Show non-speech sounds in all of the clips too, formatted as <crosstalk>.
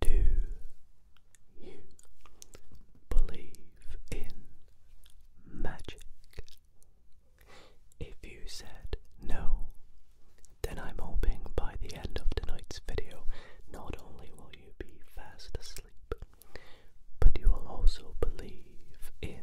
Do you believe in magic? If you said no, then I'm hoping by the end of tonight's video, not only will you be fast asleep, but you will also believe in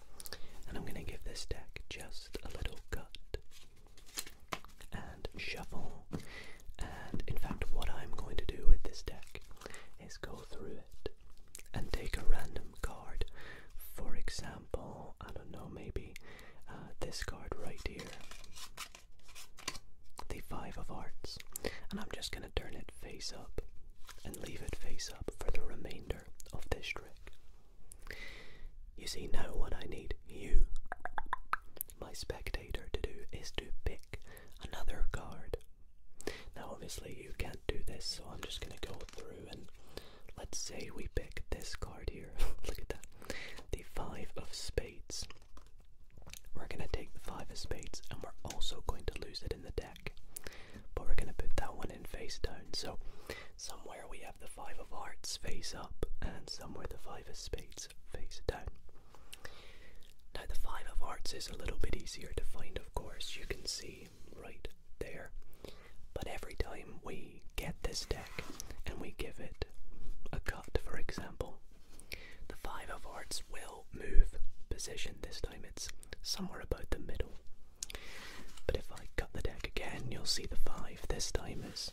And I'm going to give this deck just a little cut and shuffle. And in fact, what I'm going to do with this deck is go through it and take a random card. For example, I don't know, maybe uh, this card right here, the Five of Hearts. And I'm just going to turn it face up and leave it face up for the remainder of this trick. You see, now what I need you, my spectator, to do is to pick another card. Now, obviously, you can't do this, so I'm just going to go through and let's say we pick this card here. <laughs> Look at that. The Five of Spades. We're going to take the Five of Spades and we're also going to lose it in the deck. But we're going to put that one in face down. So somewhere we have the five of hearts face up, and somewhere the five of spades face down. Now, the five of hearts is a little bit easier to find, of course. You can see right there. But every time we get this deck and we give it a cut, for example, the five of hearts will move position. This time it's somewhere about the middle. But if I cut the deck again, you'll see the five. This time is.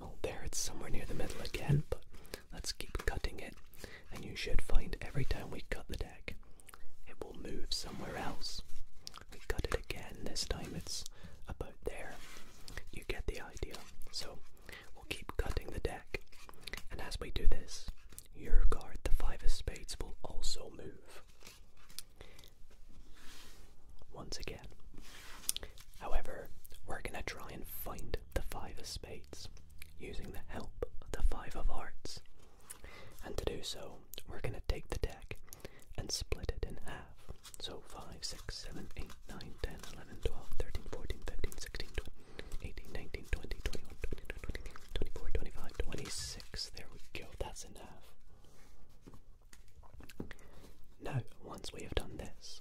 Oh, there it's somewhere near the middle again, but let's keep cutting it, and you should find every time we cut the deck, it will move somewhere else. We cut it again, this time it's about there. You get the idea. So we'll keep cutting the deck, and as we do this, your card, the Five of Spades, will also move. Once again. However, we're going to try and find the Five of Spades using the help of the Five of Hearts. And to do so, we're going to take the deck and split it in half. So 5, 6, 7, 8, 9, 10, 11, 12, 13, 14, 15, 16, 20, 18, 19, 20, 21, 22, 23, 24, 25, 26. There we go. That's enough. Now, once we have done this,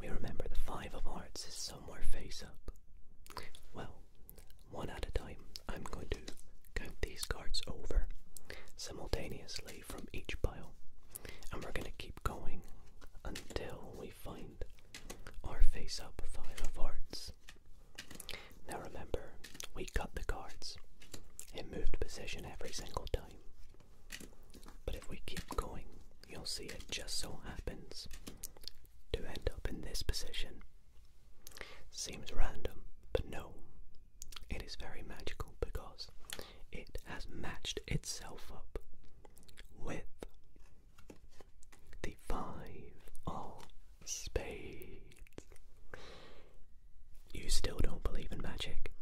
we remember the five of hearts is somewhere face up. Well, one at a time, I'm going to count these cards over simultaneously from each pile, and we're going to keep going until we find our face up five of hearts. Now remember, we cut the cards. It moved position every single time. But if we keep going, you'll see it just so happens to end up in this position. Seems random, but no, it is very magical because it has matched itself up with the five of Spades. You still don't believe in magic?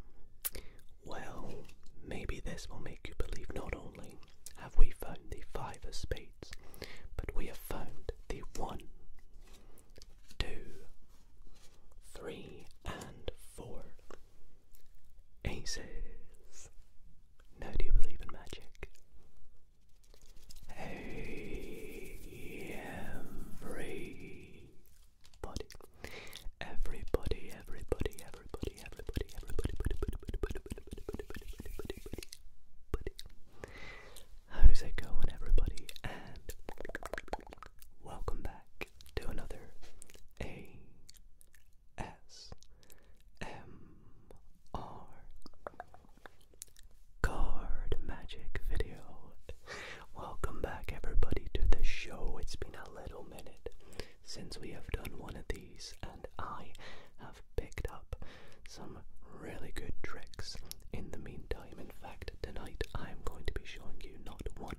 Well, maybe this will make you believe not only have we found the five of spades, but we have found the one, two, three, and four aces. Now, do you believe in magic? everybody, everybody, everybody, everybody, everybody, everybody, how's it going, everybody? And welcome back to another A S M R card magic video. Welcome back, everybody, to the show. It's been a little minute since we have done one of these, and I have picked up some really good tricks in the meantime. In fact, tonight I am going to be showing you not one,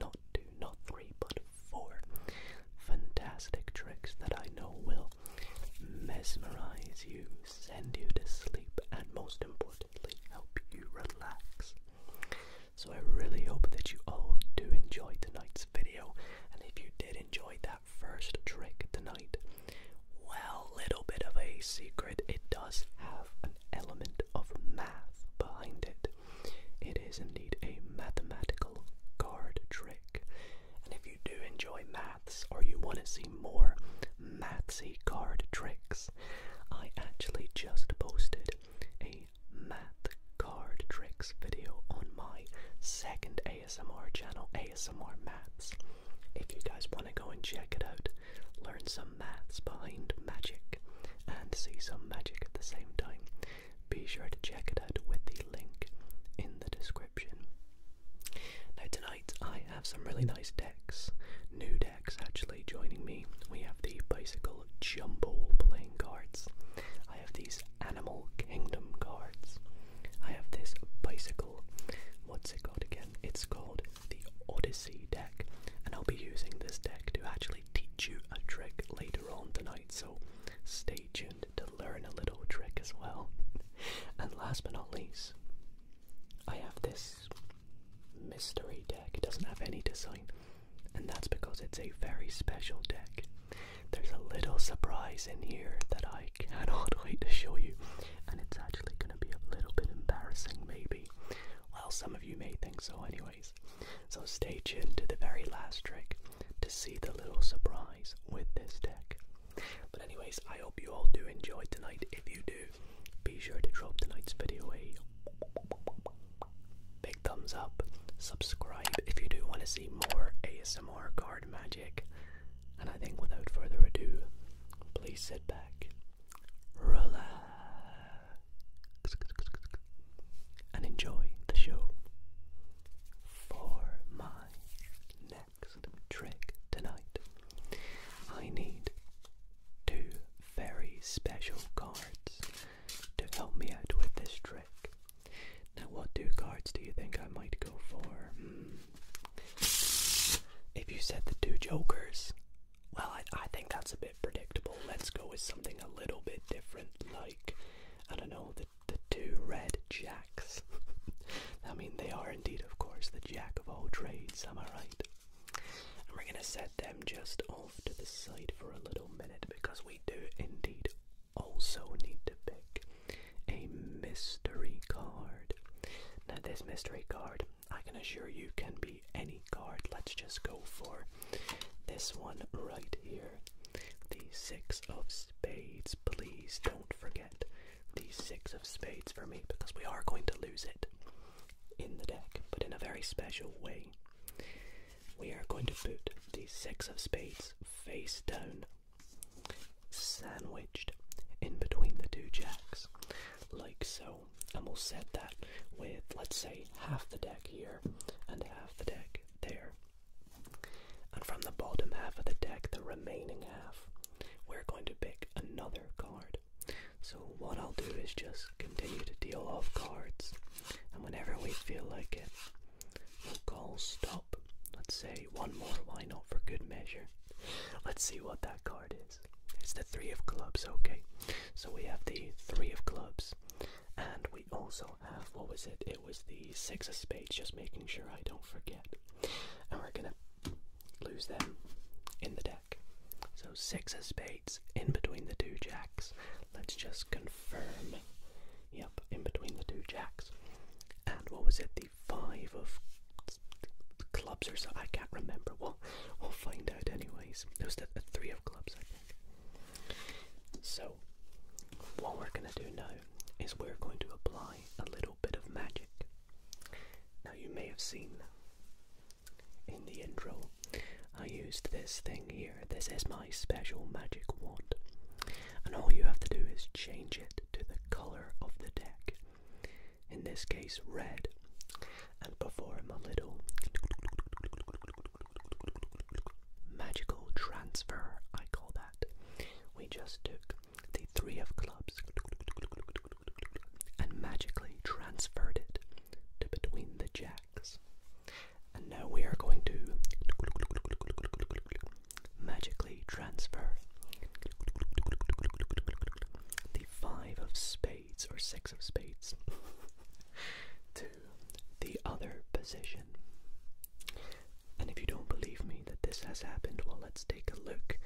not two, not three, but four fantastic tricks that I know will mesmerize you send you to sleep, and most importantly, help you relax. So, I really hope that you all do enjoy tonight's video. And if you did enjoy that first trick tonight, well, little bit of a secret, it does have an element of math behind it. It is indeed a mathematical card trick. And if you do enjoy math, or you want to see more mathy card tricks, I actually just posted a math card tricks video on my second ASMR channel, ASMR Maths. If you guys want to go and check it out, learn some maths behind magic and see some magic at the same time, be sure to check it out with the link in the description. Now, tonight I have some really nice decks, new decks actually joining me. We have the Bicycle Jumble playing cards, I have these Animal Kingdom cards, I have this Bicycle, what's it called again? It's called the Odyssey deck, and I'll be using this deck to actually teach you a trick later on tonight, so stay tuned to learn a little trick as well. <laughs> And last but not least, I have this mystery deck. It doesn't have any design, and that's because it's a very special deck. There's a little surprise in here that I cannot <laughs> wait to show you, and it's actually going to be a little bit embarrassing, maybe. Well, some of you may think so, anyways. So stay tuned to the very last trick to see the little surprise with this deck. But anyways, I hope you all do enjoy tonight. If you do, be sure to drop tonight's video a big thumbs up. Subscribe if you do want to see more ASMR card magic. And I think without further ado, please sit back, relax, and enjoy the show. For my neck trick tonight. I need two very special cards to help me out with this trick. Now, what two cards do you think I might go for? Hmm. If you said the two jokers, well, I, I think that's a bit predictable. Let's go with something a little bit different, like, I don't know, the, the two red jacks. <laughs> I mean, they are indeed, of course, the jack of all trades, am I right? And we're going to set them just off to the side for a little minute because we do indeed also need to pick a mystery card. Now, this mystery card, I can assure you, can be any card. Let's just go for this one right here the Six of Spades. Please don't forget these six of spades for me because we are going to lose it in the deck, but in a very special way. We are going to put these six of spades face down, sandwiched in between the two jacks, like so. And we'll set that with, let's say, half the deck here and half the deck there. And from the bottom half of the deck, the remaining half, we're going to pick another card. So, what I'll do is just continue to deal off cards, and whenever we feel like it, we'll call stop. Let's say one more, why not, for good measure. Let's see what that card is. It's the Three of Clubs, okay. So, we have the Three of Clubs, and we also have what was it? It was the Six of Spades, just making sure I don't forget. And we're gonna lose them in the deck. So six of spades in between the two jacks. Let's just confirm. Yep, in between the two jacks. And what was it? The five of clubs or so. I can't remember. We'll, we'll find out anyways. It was the three of clubs, I think. So what we're going to do now is we're going to apply a little bit of magic. Now, you may have seen in the intro, I used this thing here. This is my special magic wand, and all you have to do is change it to the color of the deck, in this case, red. And perform a little magical transfer, I call that. We just took the three of clubs, and magically transferred it to between the jacks. And now we are going to magically transfer the five of spades or six of spades <laughs> to the other position. And if you don't believe me that this has happened, well, let's take a look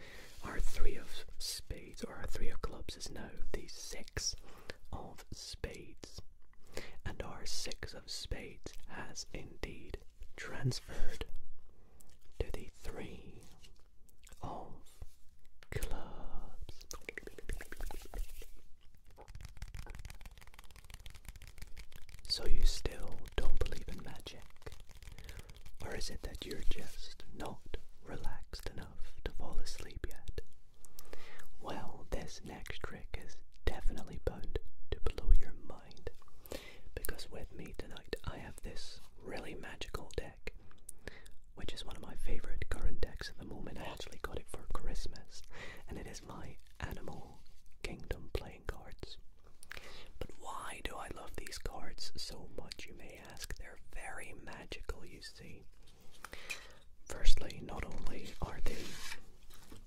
our three of spades, or our three of clubs, is now the six of spades. And our six of spades has indeed transferred to the three of clubs. So you still don't believe in magic? Or is it that you're just not relaxed enough to fall asleep yet? Well, this next trick is definitely bound to blow your mind because with me tonight I have this really magical deck, which is one of my favorite current decks at the moment. I actually got it for Christmas, and it is my Animal Kingdom play cards. But why do I love these cards so much, you may ask? They're very magical, you see. Firstly, not only are they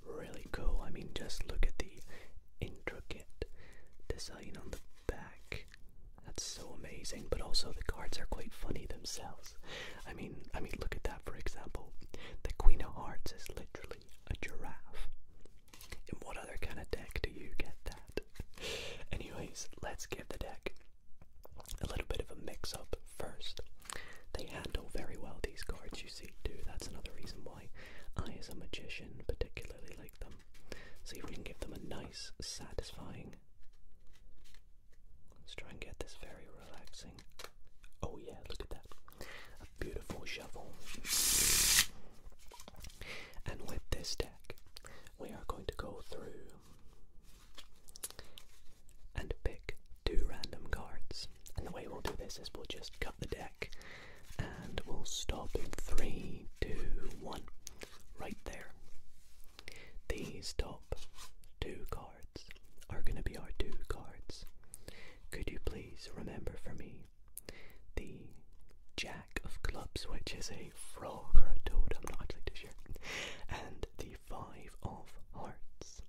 really cool, I mean, just look at the intricate design on the back. That's so amazing, but also the cards are quite funny themselves. I mean, I mean, look at that for example. The Queen of Hearts is literally a giraffe. In what other kind of deck do you get that? Anyways, let's give the deck a little bit of a mix up first. They handle very well these cards, you see, too. That's another reason why I, as a magician, particularly like them. See if we can give them a nice, satisfying. Let's try and get this very relaxing. Oh, yeah, look at that. beautiful shuffle. And with this deck, we are going to go through and pick two random cards. And the way we'll do this is we'll just cut the deck and we'll stop in three, two, one, right there. These top two cards are going to be our two cards. Could you please remember for me the Jack of clubs, which is a frog or a toad, I'm not actually too sure, and the Five of Hearts.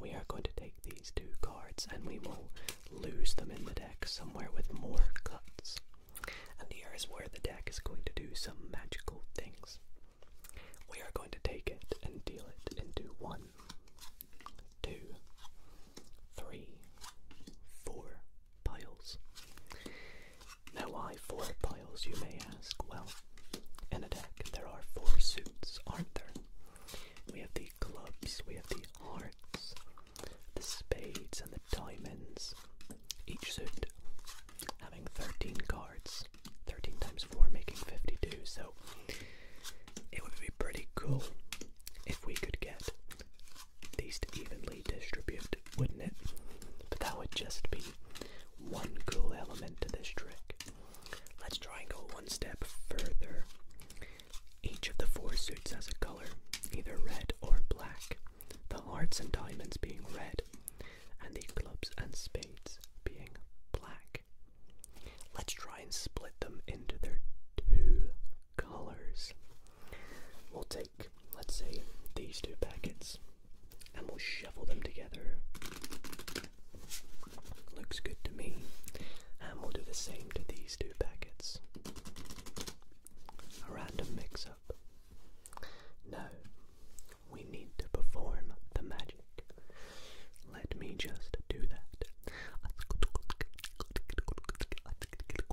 We are going to take these two cards and we will lose them in the deck somewhere with more cuts. And here is where the deck is going to do some magical things. We are going to take it and deal it into one, two, three, four piles. Now, why four piles, you may ask? Well, in a deck, there are four suits, aren't there? We have the clubs, we have the hearts, the spades, and the diamonds. Each suit having 13 cards, 13 times 4 making 52, so it would be pretty cool if we could get these to evenly distribute, wouldn't it? But that would just be one cool element to this trick. Let's try and go one step further. Each of the four suits has a color, either red or black, the hearts and diamonds being red, and the clubs and spades being black. Let's try and split them into their two colors. We'll take, let's say, these two packets and we'll shuffle them together. Looks good to me. And we'll do the same to these two packets. A random mix up. Now, we need to perform the magic. Let me just do that.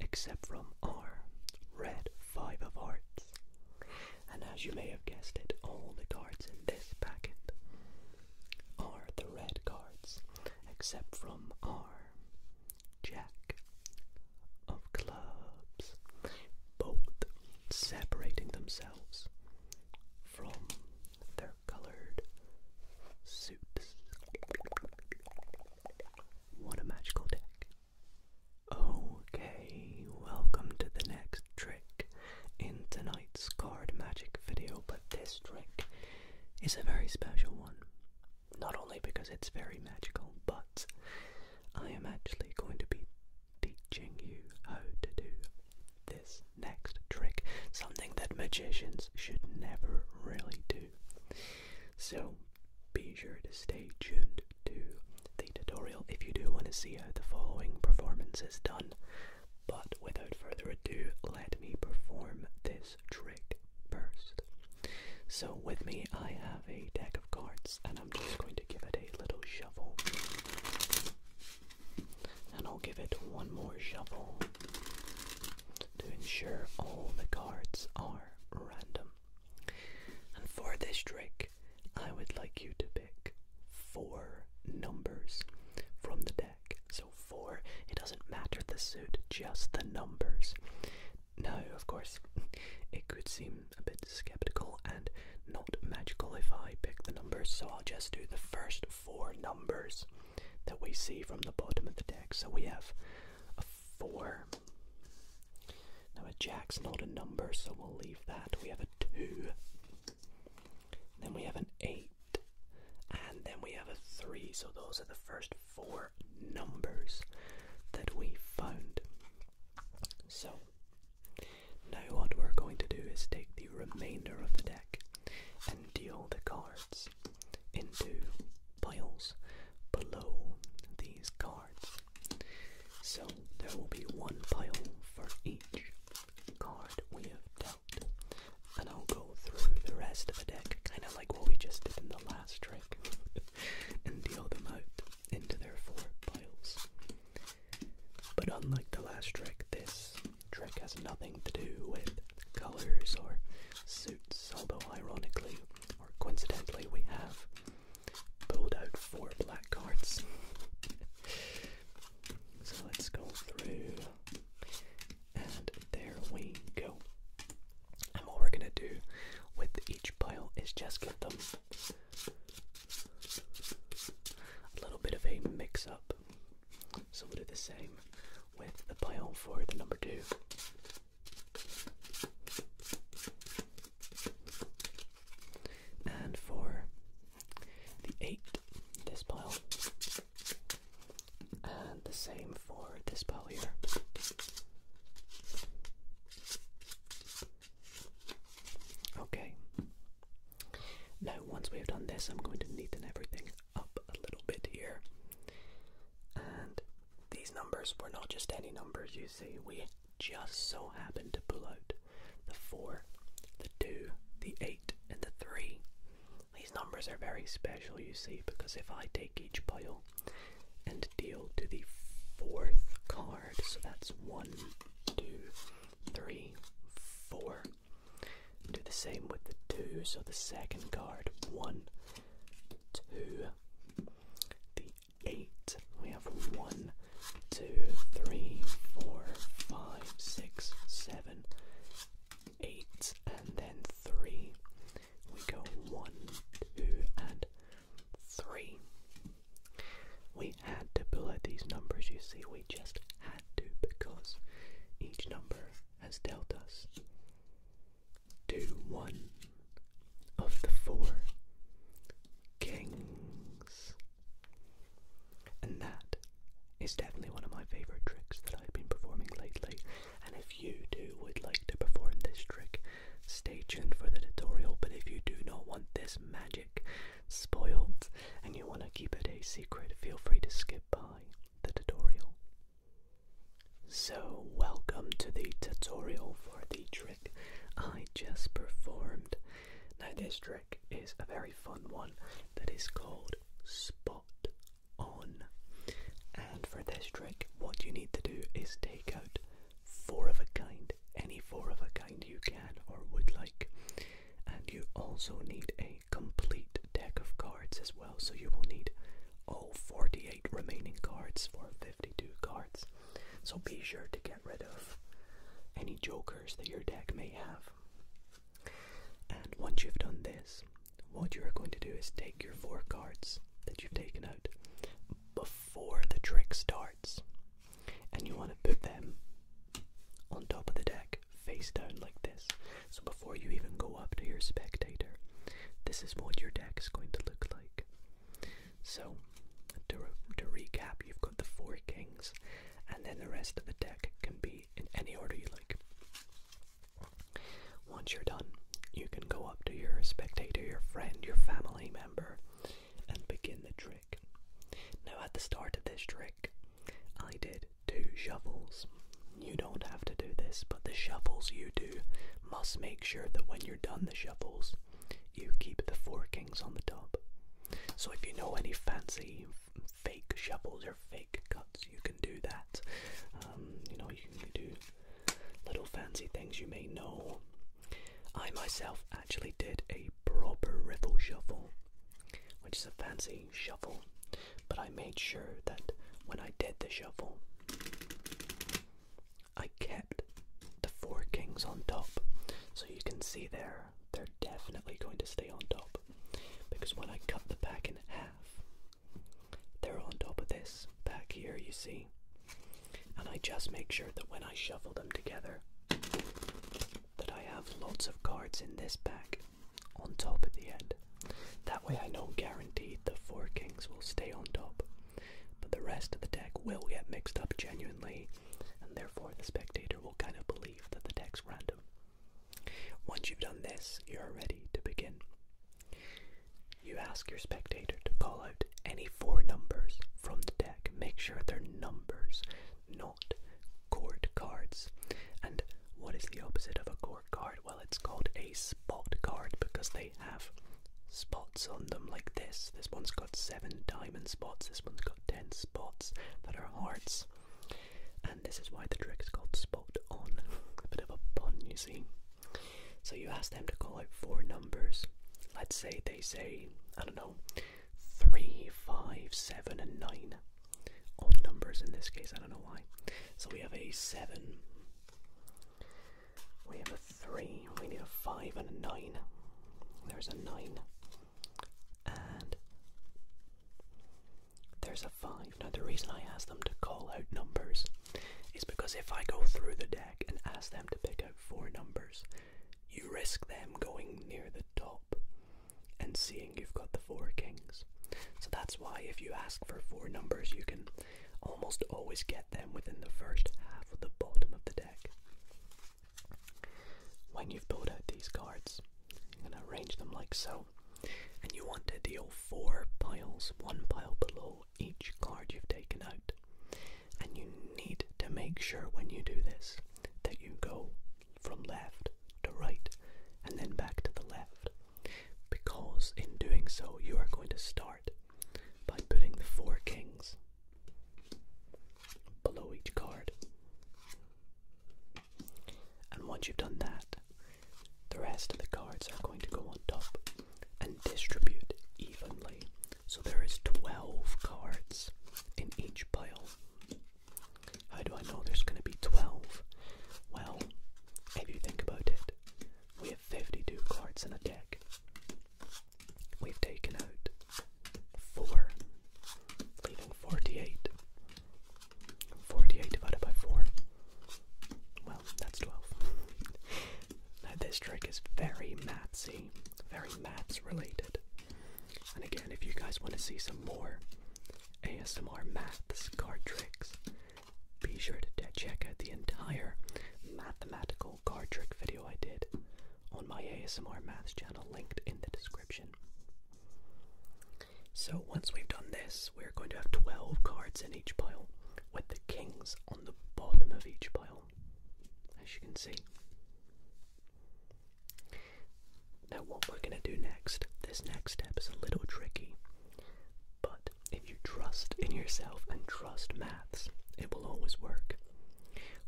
except from our red 5 of hearts. And as you may have guessed it, all the cards in this packet are the red cards, except from our Jack of clubs, both separating themselves from their colored suits. What a magical deck! Okay, welcome to the next trick in tonight's card magic video, but this trick is a very special one. Not only because it's very magical, but I am actually going to be teaching you how to do this next trick. Something that magicians should never really do so be sure to stay tuned to the tutorial if you do want to see how uh, the following performance is done. But without further ado, let me perform this trick first. So with me I have a deck of cards and I'm just going to give it a little shuffle. And I'll give it one more shuffle to ensure all the cards are random. And for this trick, I would like you to pick four numbers from the deck. So, four, it doesn't matter the suit, just the numbers. Now, of course, <laughs> it could seem a bit skeptical and not magical if I pick the numbers, so I'll just do the first four numbers that we see from the bottom of the deck. So, we have four. Now a jack's not a number, so we'll leave that. We have a two. Then we have an eight. And then we have a three. So those are the first four numbers that we found. So now what we're going to do is take the remainder of the deck and deal the cards into piles below the cards. So there will be one pile for each card we have dealt. And I'll go through the rest of the deck, kind of like what we just did in the last trick, <laughs> and deal them out into their four piles. But unlike the last trick, this trick has nothing to do with colors or suits, although ironically or coincidentally, we have pulled out four black cards. <laughs> so let's go through, and there we go. And what we're gonna do with each pile is just get them a little bit of a mix up. So we'll do the same with the pile for the number two. And for the eight, this pile, and the same for this pile here. Okay. Now, once we've done this, I'm going to neaten everything up a little bit here. And these numbers were not just any numbers, you see. We just so happened to pull out the 4, the 2, the 8, and the 3. These numbers are very special, you see, because if I take each pile and deal to the fourth card, so that's 1, 2, 3, 4. Do the same with the 2, so the second card, 1, 2, the eight. We have one, two, three, four, five, six, seven, eight, and then three. We go one, two, and three. We had to pull out these numbers, you see, we just had to because each number has dealt us to one of the four kings. And that is definitely one of my favorite tricks that I've been performing lately. And if you too would like to perform this trick, stay tuned for the tutorial. But if you do not want this magic spoiled and you want to keep it a secret, feel free to skip by the tutorial. So, welcome to the tutorial for the trick I just performed. Now, this trick is a very fun one that is called Spot On. And for this trick, what you need to do is take out four of a kind, any four of a kind you can or would like. And you also need a complete deck of cards as well, so you will need all 48 remaining cards for 52 cards. So be sure to get rid of any jokers that your deck may have. And once you've done this, what you're going to do is take your four cards that you've taken out before the trick starts, and you want to put them on top of the deck face down like this. So before you even go up to your spectator, this is what your deck is going to look like. So, to, to recap, you've got the four kings, and then the rest of the deck can be in any order you like. Once you're done, you can go up to your spectator, your friend, your family member, and begin the trick. Now, at the start of this trick, I did two shuffles. You don't have to do this, but the shuffles you do must make sure that when you're done the shuffles, you keep the four kings on the top. So if you know any fancy fake shuffles or fake cuts, you can do that. Um, you know, you can do little fancy things you may know. I myself actually did a proper riffle shuffle, which is a fancy shuffle, but I made sure that when I did the shuffle, I kept the four kings on top, so you can see there they're definitely going to stay on top because when I cut the pack in half, they're on top of this back here, you see. And I just make sure that when I shuffle them together, that I have lots of cards in this pack on top at the end. That way I know guaranteed the four kings will stay on top but the rest of the deck will get mixed up genuinely, and therefore the spectator will kind of believe that the deck's random. Once you've done this, you're ready to begin. You ask your spectator to call out any four numbers from the deck. Make sure they're numbers, not court cards. And what is the opposite of a court card? well it's called a spot card because they have spots on them like this. This one's got seven diamond spots, this one's got ten spots that are hearts. And this is why the trick is called spot on. a bit of a pun, you see. So you ask them to call out four numbers. Let's say they say, I don't know, three, five, seven, and nine. Odd numbers in this case, I don't know why. So we have a seven. We have a 3, we need a 5 and a 9. There's a 9. And there's a 5. Now, the reason I ask them to call out numbers is because if I go through the deck and ask them to pick out 4 numbers, you risk them going near the top and seeing you've got the 4 kings. So that's why if you ask for 4 numbers, you can Almost always get them within the first half of the bottom of the deck. When you've pulled out these cards, you're going to arrange them like so, and you want to deal four piles, one pile below each card you've taken out. And you need to make sure when you do this that you go from left to right and then back to the left, because in doing so, you are going to start by putting the four kings below each card. And once you've done that, the rest of the cards are going to go on top and distribute evenly. So there is 12 cards in each pile. How do I know there's going to be 12? Well, if you think about it, we have 52 cards in a deck. We've taken out 4, leaving 48. 48 divided by 4. Well, that's 12. now, this trick is very mathy, very maths related. And again, if you guys want to see some more ASMR maths card tricks, be sure to check out the entire mathematical card trick video I did on my ASMR Maths channel linked in the description. So once we've done this, we're going to have 12 cards in each pile with the kings on the bottom of each pile, as you can see. Now what we're going to do next, this next step is a little tricky, but if you trust in yourself and trust maths, it will always work.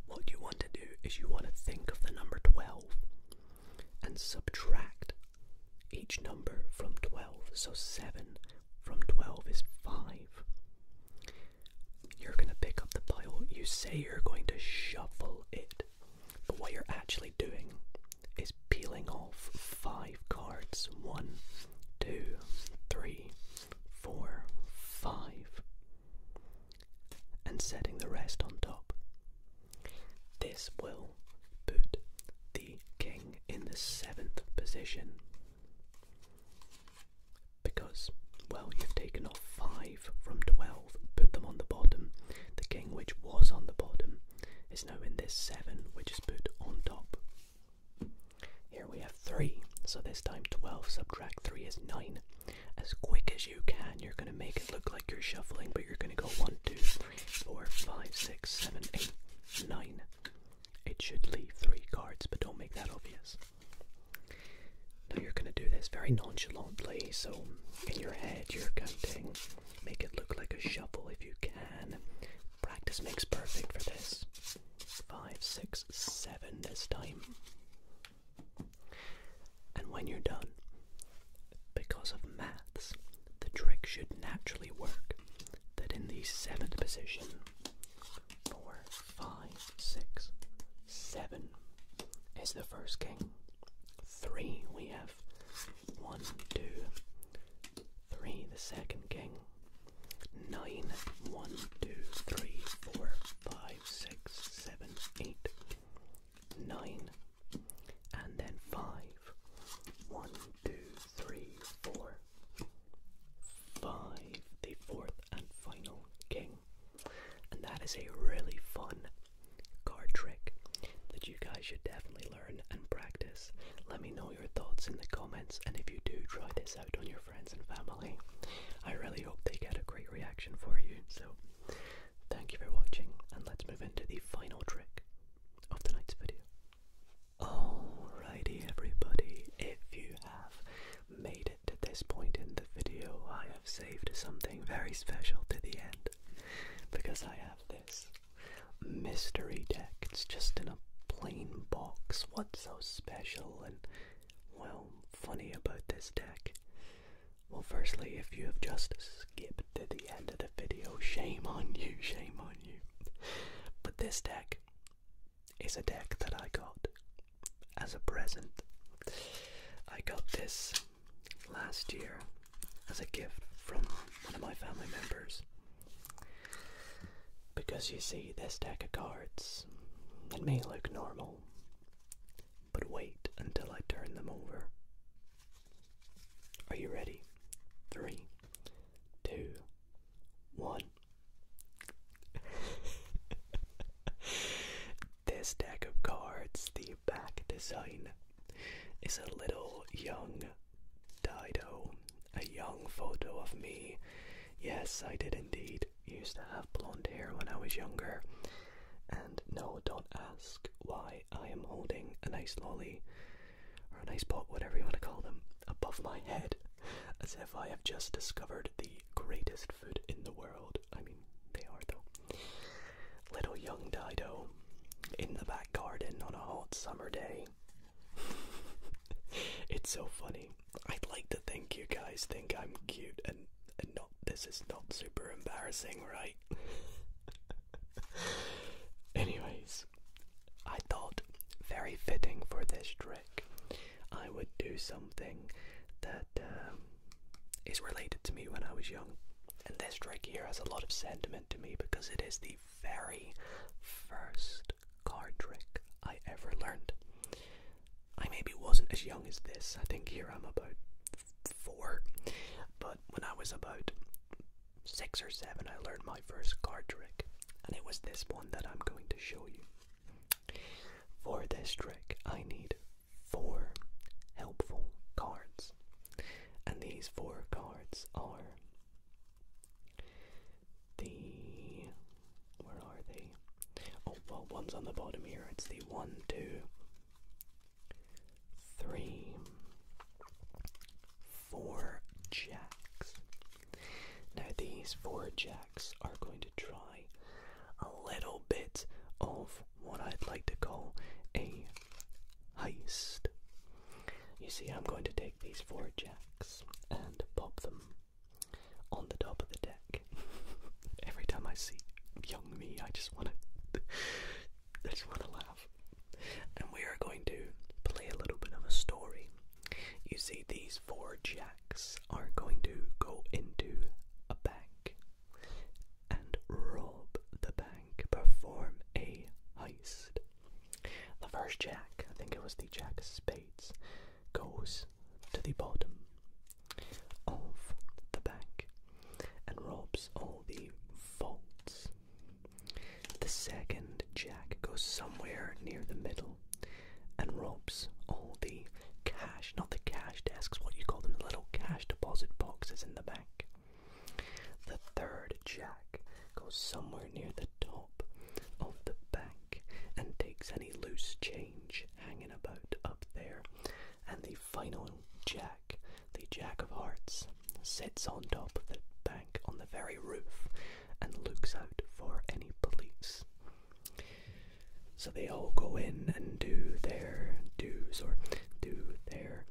What you want to do is you want to think of the number 12 and subtract each number from 12. So 7 from 12 is 5. You're going to pick up the pile. You say you're going to shuffle it, but what you're actually doing is peeling off five cards. One, two, three, four, five, and setting the rest on top. This will put the king in the seventh position because, well, you've taken off five from twelve, put them on the bottom. The king, which was on the bottom, is now in this seven, which is put on top. Here we have 3, so this time 12 subtract 3 is 9. As quick as you can, you're going to make it look like you're shuffling, but you're going to go 1, 2, 3, 4, 5, 6, 7, 8, 9. It should leave 3 cards, but don't make that obvious. Now you're going to do this very nonchalantly, so in your head you're counting. Make it look like a shuffle if you can. Practice makes perfect for this. Five, six, seven this time. And when you're done, because of maths, the trick should naturally work that in the seventh position, four, five, six, seven is the first king. Three, we have one, two, three, the second king. 9, 1, 2, 3, 4, 5, 6, 7, 8, 9, and then 5, 1, 2, 3, 4, 5, the fourth and final king. And that is a really fun card trick that you guys should definitely and practice. Let me know your thoughts in the comments, and if you do try this out on your friends and family, I really hope they get a great reaction for you. So, thank you for watching, and let's move into the final trick of tonight's video. Alrighty, everybody, if you have made it to this point in the video, I have saved something very special to the end because I have this mystery deck. It's just in a plain box. What's so special and, well, funny about this deck? Well, firstly, if you have just skipped to the end of the video, shame on you, shame on you. But this deck is a deck that I got as a present. I got this last year as a gift from one of my family members. Because you see, this deck of cards, it may look normal, but wait until I turn them over. Are you ready? Three, two, one. <laughs> this deck of cards, the back design, is a little young Dido a young photo of me. Yes, I did indeed used to have blonde hair when I was younger. And no, don't ask why I am holding an ice lolly or an ice pot, whatever you want to call them, above my head as if I have just discovered the greatest food in the world. I mean, they are though. Little young Dido in the back garden on a hot summer day. <laughs> it's so funny. I'd like to think you guys think I'm cute and, and not this is not super embarrassing, right? <laughs> Anyways, I thought very fitting for this trick, I would do something that um, is related to me when I was young. And this trick here has a lot of sentiment to me because it is the very first card trick I ever learned. I maybe wasn't as young as this, I think here I'm about four, but when I was about six or seven, I learned my first card trick, and it was this one that I'm going to show you. For this trick, I need four helpful cards, and these four cards are the where are they? Oh well, one's on the bottom here. It's the one, two, three, four jacks. Now these four jacks are going to try a little bit of what I'd like to call a heist. You see, I'm going to take these four jacks and pop them on the top of the deck. <laughs> Every time I see young me, I just want to, <laughs> I just want to laugh. And we are going to play a little bit of a story. You see, these four jacks are going to go into a bank and rob the bank, perform a heist. The first jack, I think it was the jack of spades, goes to the bottom of the bank and robs all the vaults. The second jack goes somewhere near the middle and robs all the cash, not the cash desks, what you call them, the little cash deposit boxes in the bank. The third jack goes somewhere near the top of the bank and takes any loose change hanging about up there. And the final jack, the jack of hearts, sits on top of the bank on the very roof and looks out for any police. So they all go in and do their dues or do their,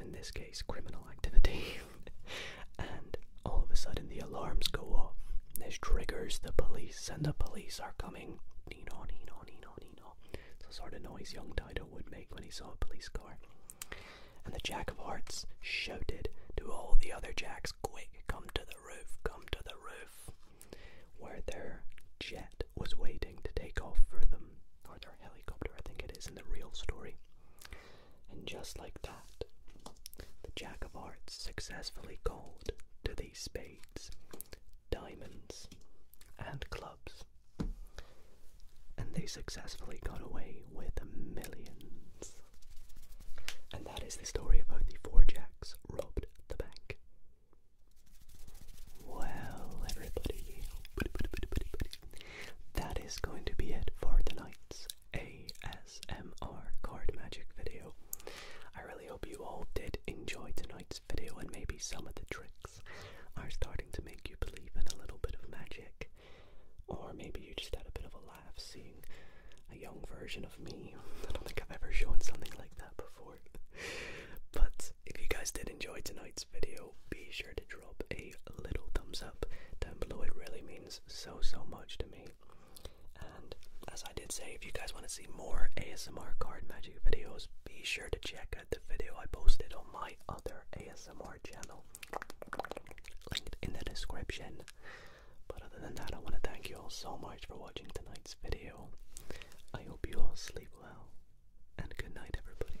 in this case, criminal activity. <laughs> <laughs> and all of a sudden the alarms go off. This triggers the police, and the police are coming. Nino, Nino, Nino, Nino. It's the sort of noise young Dido would make when he saw a police car. And the Jack of Hearts shouted to all the other Jacks, Quick, come to the roof, come to the roof, where their jet was waiting to take off for them, or their helicopter, I think it is in the real story. And just like that, the Jack of Hearts successfully called to these spades, diamonds, and clubs. And they successfully got away with millions. And that is the story of how the four Jacks robbed the bank. Well, everybody, that is going to be it for tonight's ASMR card magic video. I really hope you all did enjoy tonight's video and maybe some of the tricks are starting to make you believe in a little bit of magic. Or maybe you just had a bit of a laugh seeing a young version of me. I don't think I've ever shown something like that before. but if you guys did enjoy tonight's video, be sure to drop a little thumbs up down below. It really means so, so much to me. And as I did say, if you guys want to see more ASMR card magic videos, be sure to check out the video I posted on my other ASMR channel, linked in the description. But other than that, I want to thank you all so much for watching tonight's video. I hope you all sleep well, and good night, everybody